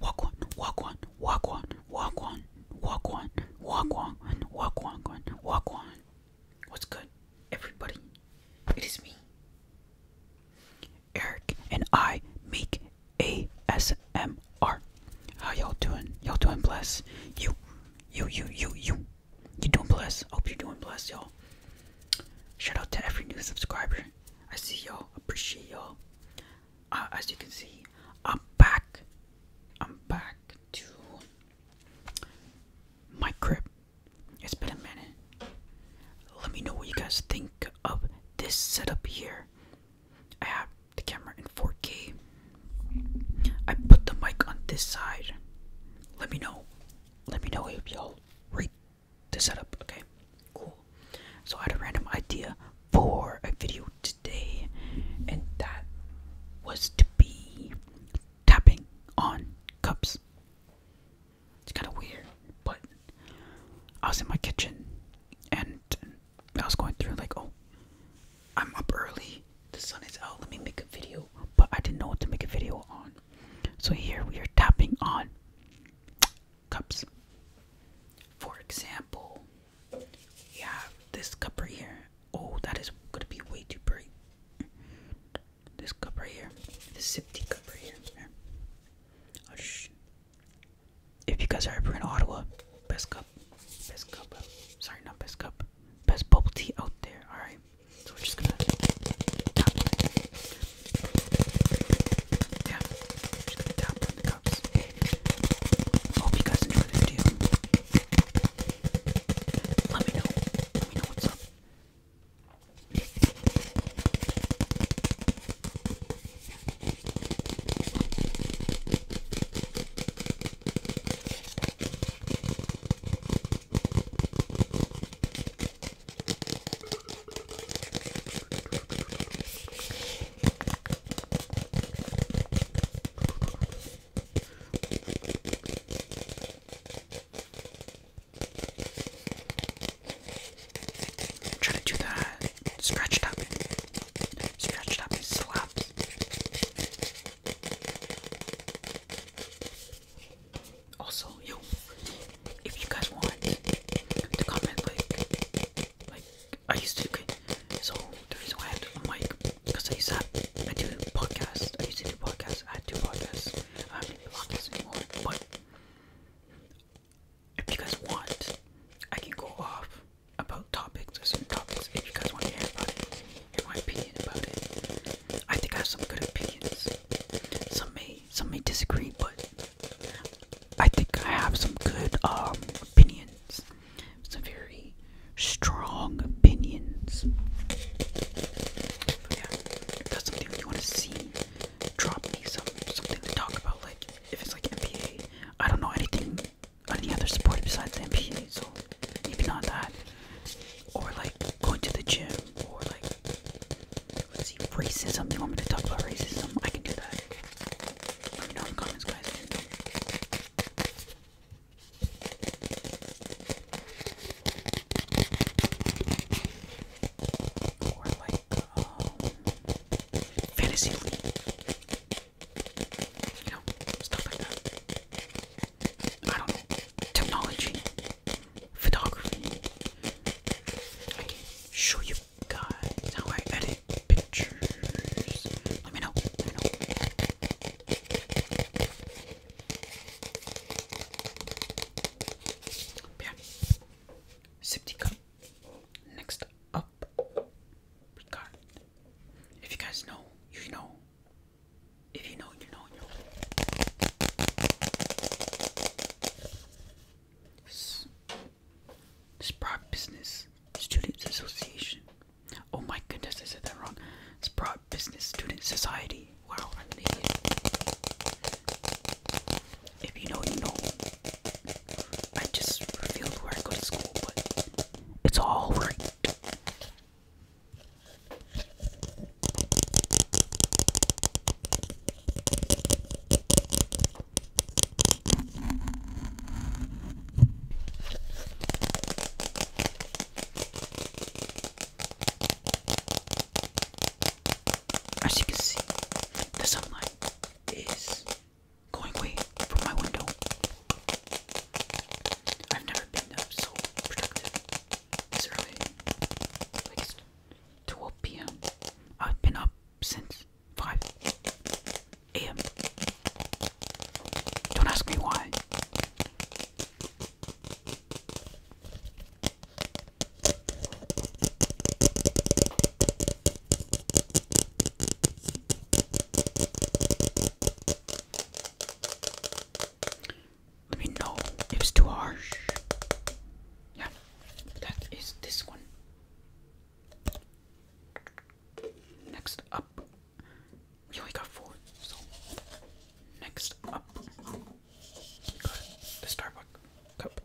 Walk one, walk one, walk one, walk one, walk one, walk one, walk one, walk one. What's good, everybody? It is me, Eric, and I make ASMR. How y'all doing? Y'all doing blessed? You, you, you, you, you. You doing blessed? Hope you're doing blessed, y'all. Shout out to every new subscriber. I see y'all, appreciate y'all. Uh, as you can see, I'm back. I'm back to my crib. It's been a minute. Let me know what you guys think of this setup here. I have the camera in 4K. I put the mic on this side. Let me know. Let me know if y'all rate to set up, Okay, cool. So I had a random idea for a video today, and that was to be tapping on cups. It's kind of weird, but I was in my kitchen and I was going through, like, oh, I'm up early, the sun is out, let me make a video. But I didn't know what to make a video on. So here we are tapping on cups. For example, we have this cup right here. Oh, that is gonna be way too bright. This cup right here, this sipty cup right here. Oh, if you guys are ever in Ottawa, best cup, best cup, sorry, not best cup, best bubble tea out there. All right. So we're just gonna tap on it. Yeah, we're just gonna tap on the cups. Hope you guys enjoyed this video. Let me know. Let me know what's up. I'm trying to do that scratched up, scratched up and slapped. Also, yo, if you guys want to comment, like, like I used to. Okay, so the reason why I had to, a mic because I used to have, I do podcasts. I used to do podcasts. I do podcasts. I don't do podcasts anymore. But if you guys want, I can go off about topics or certain topics if you guys want to hear about it in my opinion about it. I think I have some good opinions. Some may some may disagree, but I think I have some good um, opinions. Some very strong opinions. if that's something you want to see, drop me some something to talk about. Like if it's like NBA, I don't know anything any other sport besides the NBA, so maybe not that. Or like going to the gym, or like, racism. us see, racism. You want me to talk about racism? I can do that. Let in comments, guys. Or like, um, fantasy you know, stuff like that. I don't know. Technology, photography. I can show you guys how I edit pictures. Let me know. Let me know. Next up up regard. If you guys know, you know. If you know, you know, you know. Sprout Business Students Association. Oh my goodness, I said that wrong. Sprout Business Student Society. Wow, I'm an idiot. If you know, you know. I just revealed where I go to school, but it's all right. As you can see, the sunlight is going away from my window. I've never been up so productive this early. 12 p.m. I've been up since 5 a.m. Don't ask me why. Let me know if it's too harsh. Yeah, that is this one. Next up, we only got four, so next up, the Starbucks cup.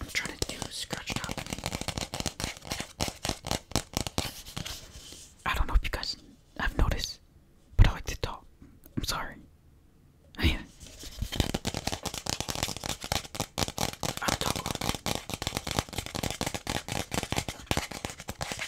I'm trying to do scratch tapping. I don't know if you guys have noticed, but I like to talk. I'm sorry. I talk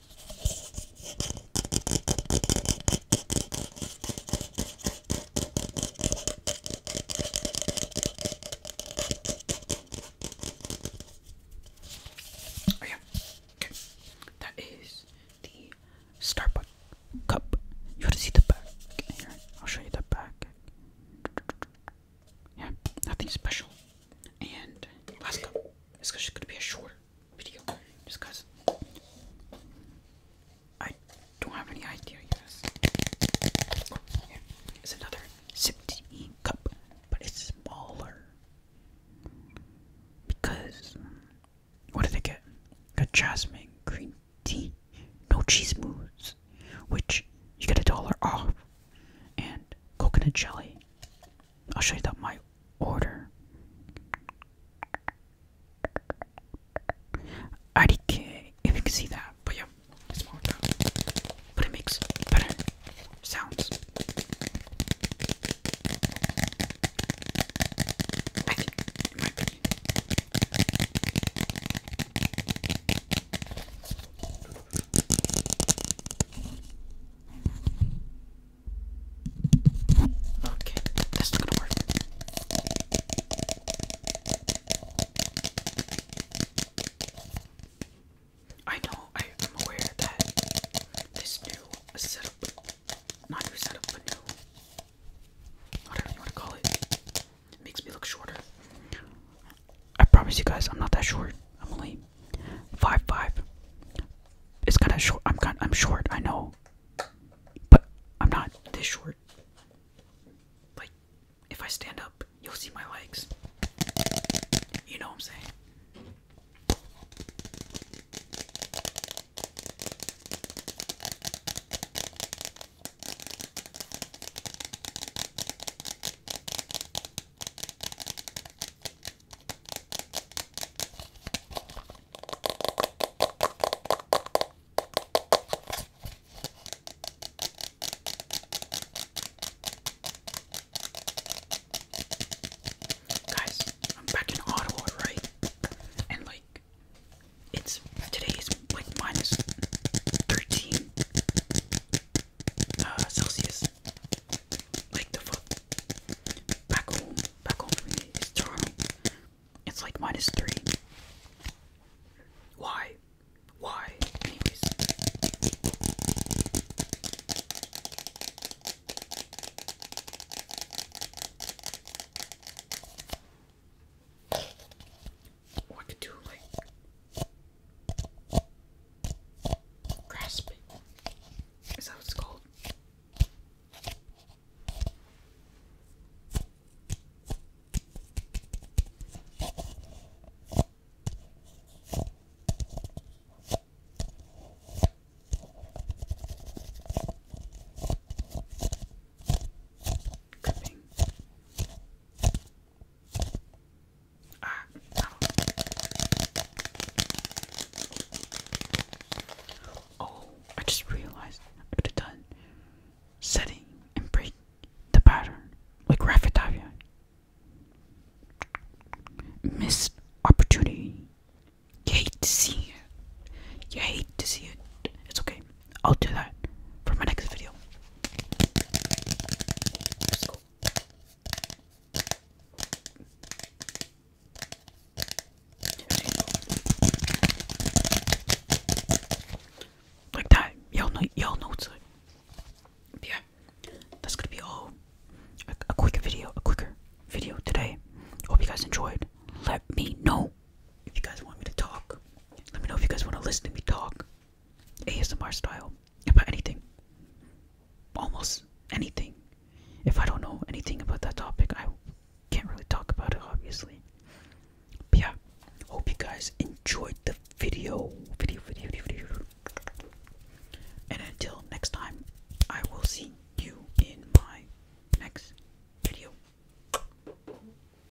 Oh yeah. Okay. That is the Starbucks cup. You want to see the back here? I'll show you the back. Yeah, nothing special. And last cup. It's just going to be a short video because I don't have any idea, yes. it's another 17 cup, but it's smaller. Because, what did I get? I got jasmine green tea, no cheese moose, which you get a dollar off, and coconut jelly, I'll show you that my order. RDK, if you can see that, but yeah, it's more But it makes better sounds. Okay, that's not gonna work. I know, I am aware that this new setup, not new setup, but new, whatever you want to call it makes me look shorter. I promise you guys, I'm not that short. I'm only Five five. It's kind of short. I'm kind. I'm short. I know, but I'm not this short. Like, if I stand up, you'll see my legs. You know what I'm saying? Guys, I'm back in Ottawa, right? And like, it's today is like minus 13 uh, Celsius like the foot. Back home, back home for me is Toronto. It's like minus three. Why? Why? Anyways. I could do like Grasp. Is that what it's called? Gripping. Ah, oh. I just realized I could have done setting and break the pattern like Raffitavia. Missed opportunity. You hate to see it. You hate to see it. It's okay. I'll do that for my next video. Like that, y'all know, y'all know it's yeah, that's gonna be all. A, a quicker video, a quicker video today. Hope you guys enjoyed. Let me know if you guys want me to talk. Let me know if you guys want to listen to me talk. ASMR style about anything. Almost anything. If I don't know anything about that topic, I can't really talk about it, obviously. But yeah, hope you guys enjoyed the video. Video, video, video, video. And until next time, I will see you in my next video.